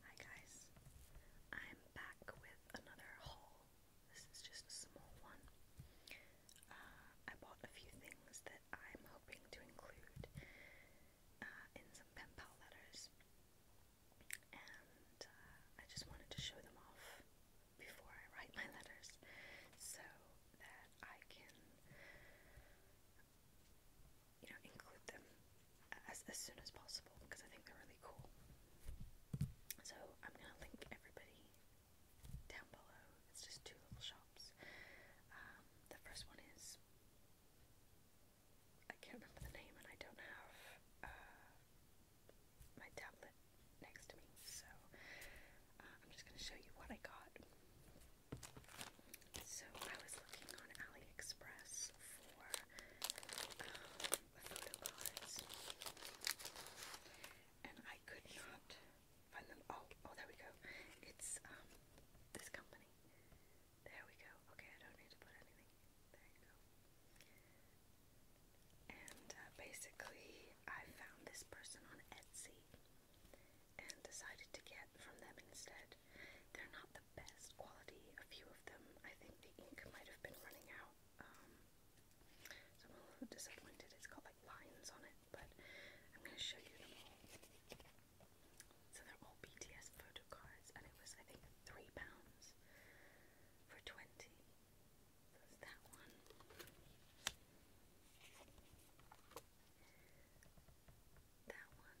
Hi guys, I'm back with another haul. This is just a small one. Uh, I bought a few things that I'm hoping to include uh, in some pen pal letters, and uh, I just wanted to show them off before I write my letters so that I can you know, include them as, as soon as possible because I think they're really cool. So I'm gonna link everybody down below. It's just two little shops. Um, the first one is I can't remember the name, and I don't have uh, my tablet next to me, so uh, I'm just gonna show you what I got. So I was looking on AliExpress for um, photo cards, and I could not find them. Oh, oh, there we go. It's um this company. There we go. Okay, I don't need to put anything. There you go. And uh, basically, I found this person on Etsy and decided to get from them instead. They're not the best quality, a few of them. I think the ink might have been running out. Um, so I'm a little disappointed. It's got like lines on it, but I'm going to show you them all. So they're all BTS photo cards, and it was, I think, £3 for 20 that one. That one.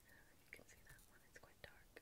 Uh, you can see that one, it's quite dark.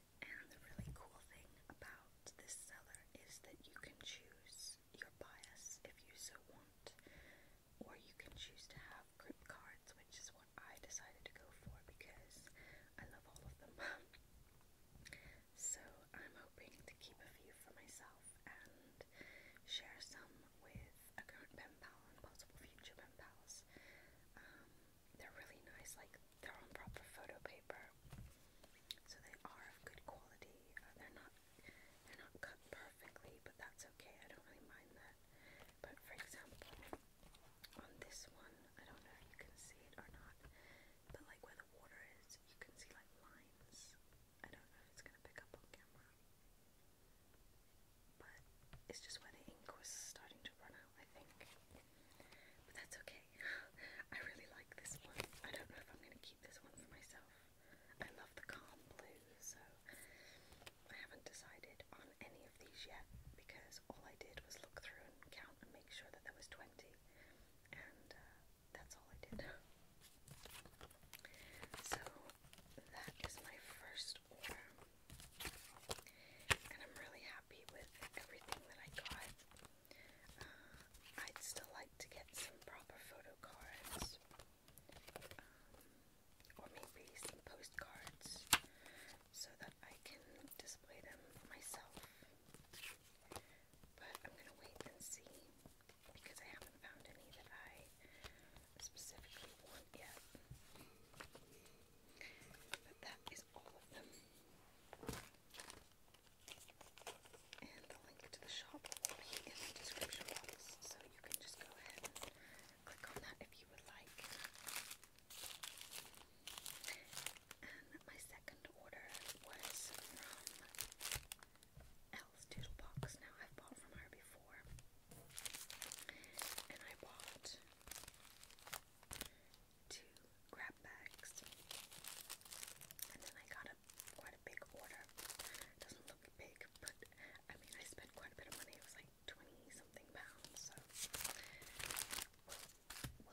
And the really cool thing about this seller is that you can choose your bias if you so want, or you can choose to have grip cards, which is what I decided to go for because I love all of them. so I'm hoping to keep a few for myself and share some with a current pen pal and possible future pen pals. Um, they're really nice, like they're on proper photo paper, so they are of good quality. Uh, they're not they're not cut perfectly, but that's okay. I don't really mind that. But for example, on this one, I don't know if you can see it or not, but like where the water is, you can see like lines. I don't know if it's gonna pick up on camera. But it's just where the ink was starting to run out, I think. But that's okay. I really like this one. I don't know if I'm going to keep this one for myself. I love the calm blue, so I haven't decided on any of these yet because all I did was look through and count and make sure that there was 20, and uh, that's all I did. So that is my first order and I'm really happy with everything that I got. Uh, I'd still like to get some proper photo cards, um, or maybe some postcards, so that I can display them myself. But I'm gonna wait and see because I haven't found any that I specifically want yet. But that is all of them. And the link to the shop will be in the description box, so you can just go ahead and click on that if you would like. And my second order was from Elle's Doodle Box. Now, I've bought from her before, and I bought two grab bags. And then I got a quite a big order. doesn't look big, but I mean I spent quite a bit of money. It was like 20 something pounds. So we'll,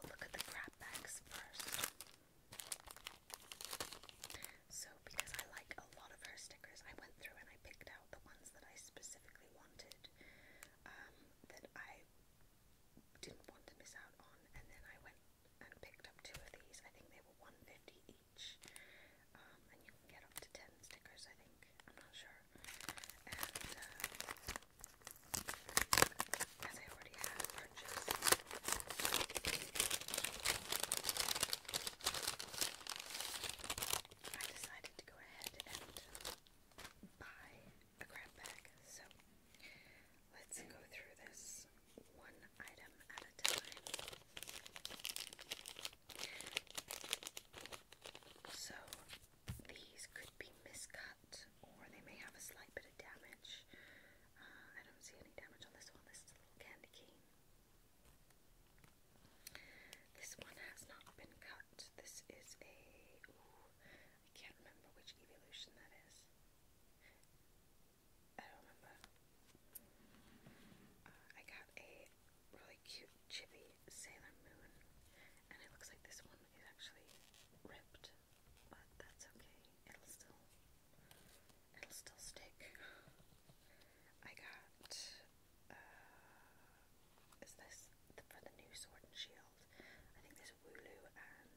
look at the grab bags first. So because I like a lot of her stickers, I went through and I picked out the ones that I specifically wanted um, that I didn't want to miss out on, and then I went and picked up two of these. I think they were one fifty each, um, and you get up to ten stickers. I think I'm not sure. And uh, as I already had purchased. I decided to go ahead and buy a crap bag. So let's go through this one item at a time. So these could be miscut or they may have a slight bit of damage. Uh, I don't see any damage on this one. This little candy cane. This one has not been cut. This is a I can't remember which evolution that is. I don't remember. Uh, I got a really cute chibi Sailor Moon, and it looks like this one is actually ripped, but that's okay. It'll still, it'll still stick. I got. Uh, is this for the new Sword and Shield? I think there's Wooloo and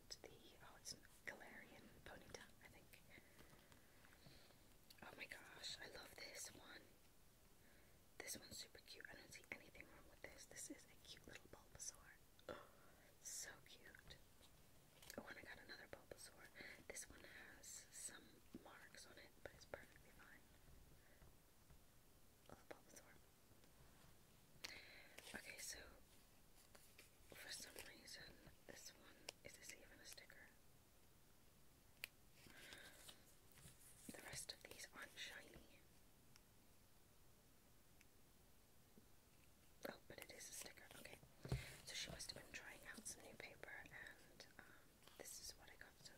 the oh it's Galarian Ponyta, I think. Oh my gosh, I love this one. This one's super cute. I don't see anything wrong with this. This is a cute little Bulbasaur. Oh, so cute. Oh, and I got another Bulbasaur. This one has some marks on it, but it's perfectly fine. Love Bulbasaur. Okay, so for some reason, this one is this even a sticker? The rest of these aren't shiny. Oh, but it is a sticker. Okay, so she must have been trying out some new paper, and um, this is what I got. So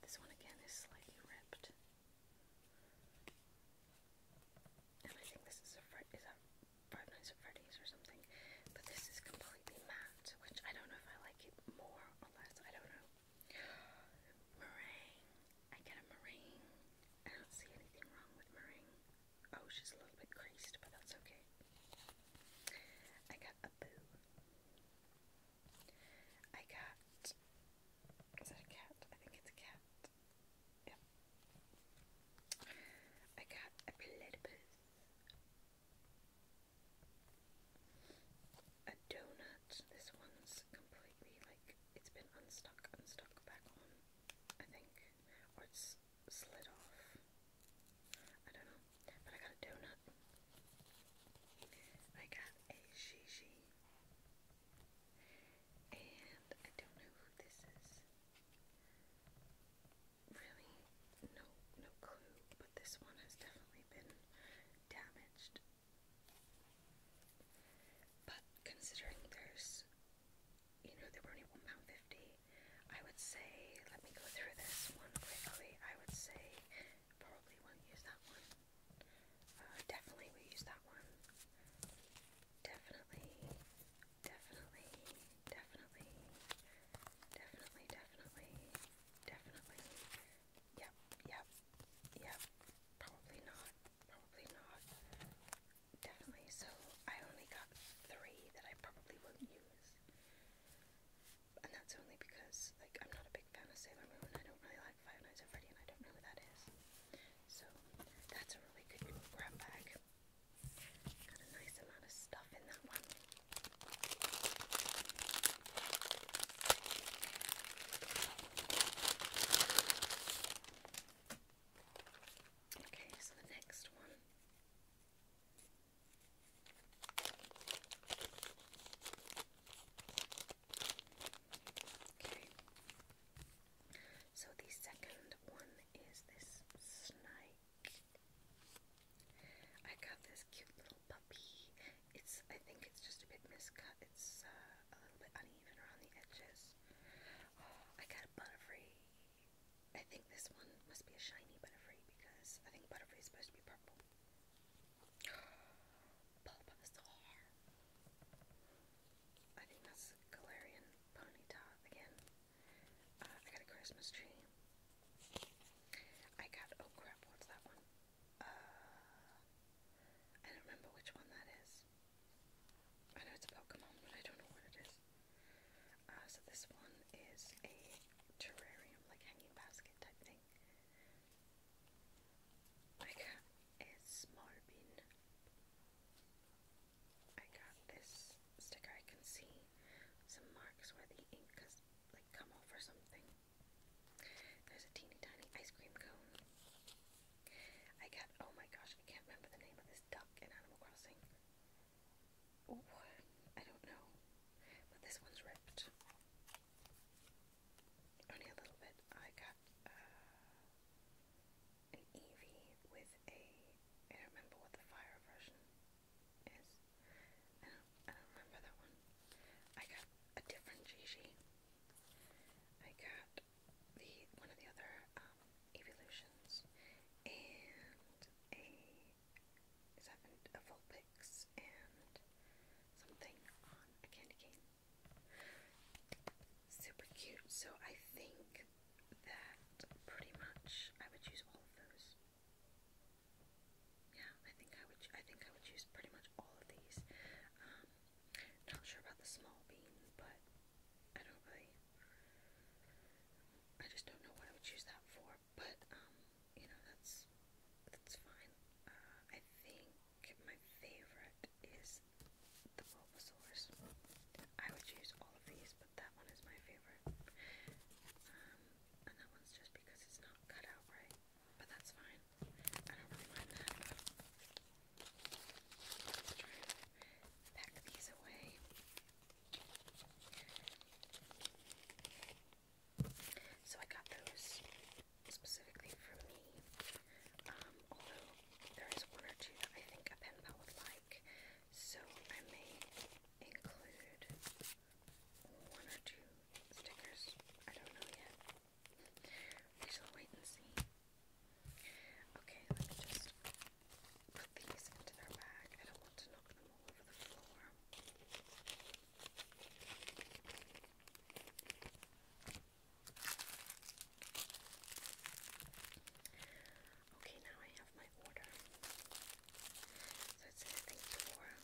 this one again is slightly ripped. And I think this is a Fred is that Five or something. But this is completely matte, which I don't know if I like it more or less. I don't know. Meringue. I get a meringue. I don't see anything wrong with meringue. Oh, she's a little bit creased, but that's okay. I got a boo. I got is that a cat? I think it's a cat. Yep. I got a platypus. A donut. This one's completely like it's been unstuck, unstuck back on, I think. Or it's slid off. I don't know. But I got a donut. I got a shishi and I don't know who this is. Really, no, no clue. But this one has definitely been damaged. But considering there's, you know, they were only one pound fifty, I would say. Let me go through this one quickly. I would say Probably won't use that one. Uh, definitely we use that one. Definitely, definitely, definitely, definitely, definitely, definitely. Yep, yep, yep. Probably not. Probably not. Definitely. So I only got three that I probably won't use. And that's only because, like, I'm not a big fan of Sailor Moon. I don't really Five Nights at Freddy I don't know who that is. So that's a really good grab bag. Got a nice amount of stuff in that one. Okay, so the next one so the second one is this snake. I got this cute little puppy. It's I think it's just a bit miscut. It's uh, a little bit uneven around the edges. Oh, I got a butterfree. I think this one must be a shiny butterfree because I think butterfree is supposed to be purple. Pulp of I think that's Galarian Ponyta again. Uh, I got a Christmas tree. I got, oh crap, what's that one? Uh, I don't remember which one that is. I know it's a Pokemon, but I don't know what it is. Uh, so this one is a terrarium, like hanging basket type thing. I got a smaller bin. I got this sticker. I can see some marks where the ink has like come off or something. There's a teeny tiny ice cream cone. I got oh my gosh, I can't remember the name of this duck in Animal Crossing. Oh, I don't know. But this one's ripped. Only a little bit. I got uh, an Eevee with a. I don't remember what the fire version is. I don't, remember that one. I got a different Gigi. I got the one of the other um, evolutions and a. Is that and something on a candy cane. Super cute. So I think that pretty much I would use all of those. Yeah, I think I would. I think I would use pretty much all of these. Um, not sure about the small beans, but I don't really. I just don't know what I would use that for. But um, you know, that's that's fine. Uh, I think my favorite is the Bulbasaur's. I would choose all of these, but that one is my favorite. Um, and that one's just because it's not cut out right, but that's fine. I don't really mind that. Let's try and pack these away. So I got those specifically for me. Um, although there is one or two I think a pen pal would like, so I may include one or two stickers. I don't know yet. We shall wait and see. Okay, let me just put these into their bag. I don't want to knock them all over the floor. Okay, now I have my order. So it's anything for and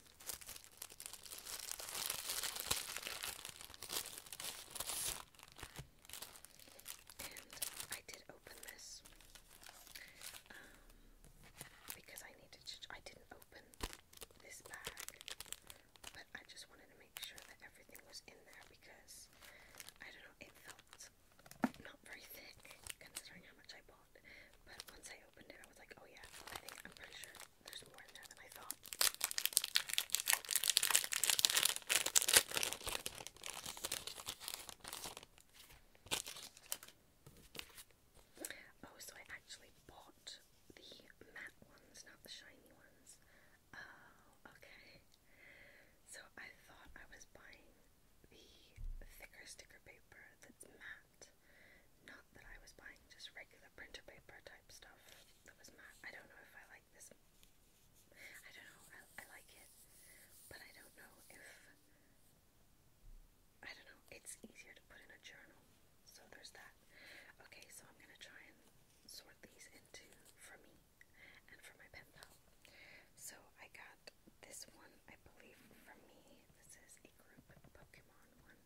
I did open this um, because I needed I didn't open this bag, but I just wanted to make sure that everything was in there because I don't know, it felt not very thick considering how much I bought. But once I opened it, I was like, oh yeah, I think I'm pretty sure there's more in there than I thought. Oh, so I actually bought the matte ones, not the shiny ones. Oh, okay. So I thought I was buying the thicker sticker paper that's matte. Not that I was buying just regular printer paper type stuff that was matte. I don't know if I like this. I don't know. I like it, but I don't know if I don't know, it's easier to put in a journal. So there's that. Okay, so I'm gonna try and sort these into for me and for my pen pal. So I got this one, I believe, for me. This is a group Pokemon one.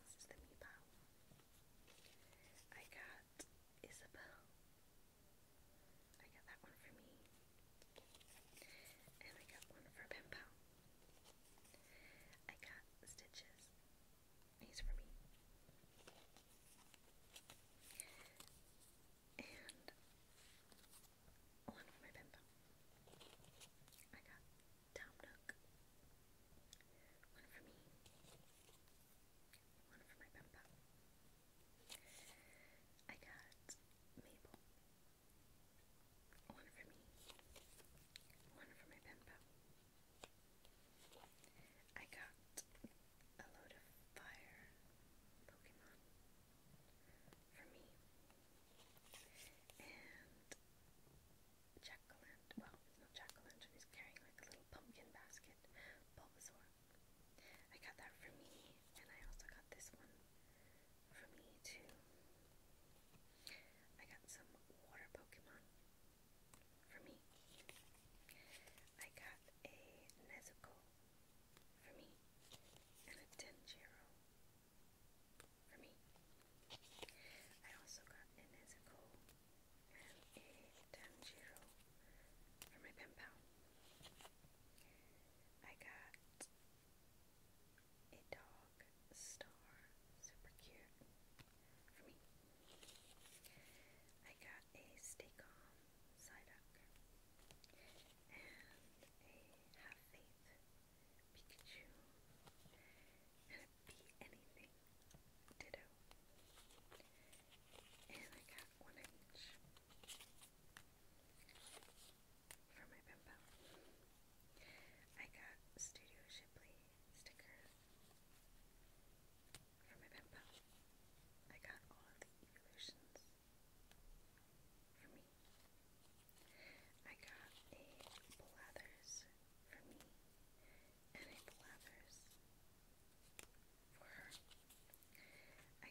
This is the Meepow. I got Isabel. I got that one for me. And I got one for Pen Pal. I got stitches. These for me. And one for my bimbo. I got Tom Nook. One for me. One for my bimbo. I got Mabel. One for me. One for my pen pal. I got a load of fire Pokemon for me. And jack well, it's not jack he's carrying like a little pumpkin basket, Bulbasaur. I got that for me, and I also got this one for me to. I got some water Pokemon for me. I got a Nezuko for me and a Tenjiro for me. I also got a Nezuko and a Tanjiro for my pen pal. I got a dog star, super cute for me. I got a Staycom and a Have Faith Pikachu and a Be Anything Ditto. And I got one inch for my bimbo. I got Studio Shipley sticker for my bimbo. I got all of the evolutions for me. I got a Blathers for me and a Blathers for her.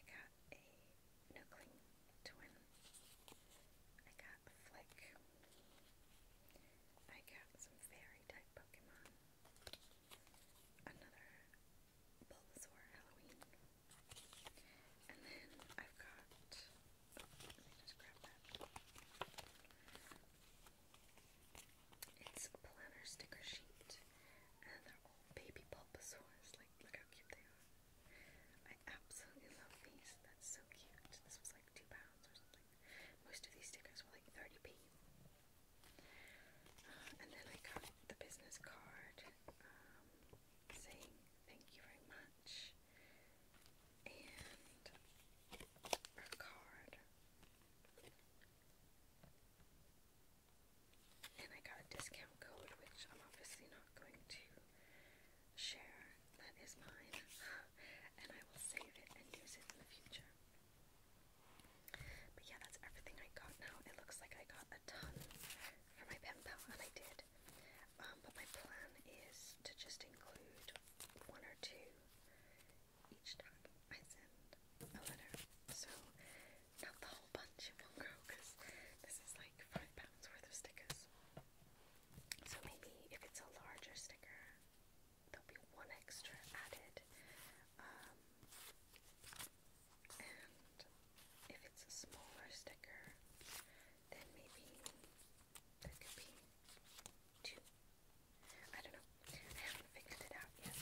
I got a Nucling Twin. I got Flick. I got some fairy type Pokemon. Another Bulbasaur Halloween. And then I've got. let me just grab that. It's a planner sticker sheet. And they're all baby Bulbasaurs. Like, look how cute they are. I absolutely love these. That's so cute. This was like two pounds or something. Most of these stickers were like 30p. Uh, and then I got the business card um, saying thank you very much. And a card. And I got a discount code, which I'm obviously not going to share that is mine, and I will save it and use it in the future. But yeah, that's everything I got now. It looks like I got a ton for my pen pal, and I did. Um, but my plan is to just include one or two each time I send a letter. So, not the whole bunch, it won't grow because this is like five pounds worth of stickers. So maybe if it's a larger sticker, there'll be one extra added. Um, and if it's a smaller sticker, then maybe there could be two. I don't know. I haven't figured it out yet.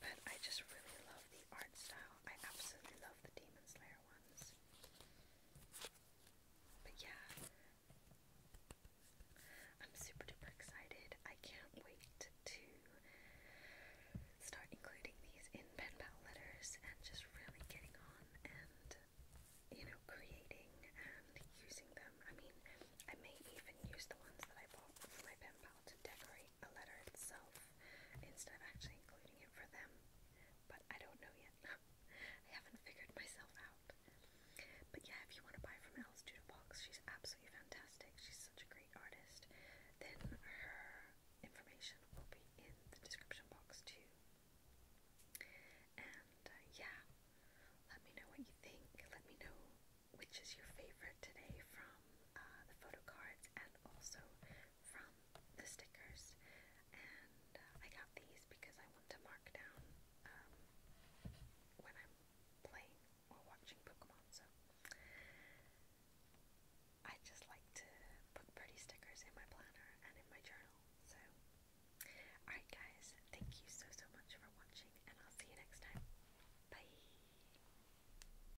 But I just really love the art style. I absolutely love the Demon Slayer ones. But yeah, I'm super duper excited. I can't wait to start including these in pen pal letters and just really getting on and, you know, creating and using them. I mean, I may even use the ones that I bought for my pen pal to decorate write letter itself instead of actually including it for them. But I don't know yet. I haven't figured myself out. But yeah, if you want to buy from Alice Doodlebox, she's absolutely fantastic. She's such a great artist. Then her information will be in the description box too. And uh, yeah, let me know what you think. Let me know which is your favorite today from uh, the photo cards and also from the stickers, and uh, I got these because I want to mark down um, when I'm playing or watching Pokemon. So I just like to put pretty stickers in my planner and in my journal. So, alright, guys, thank you so so much for watching, and I'll see you next time. Bye.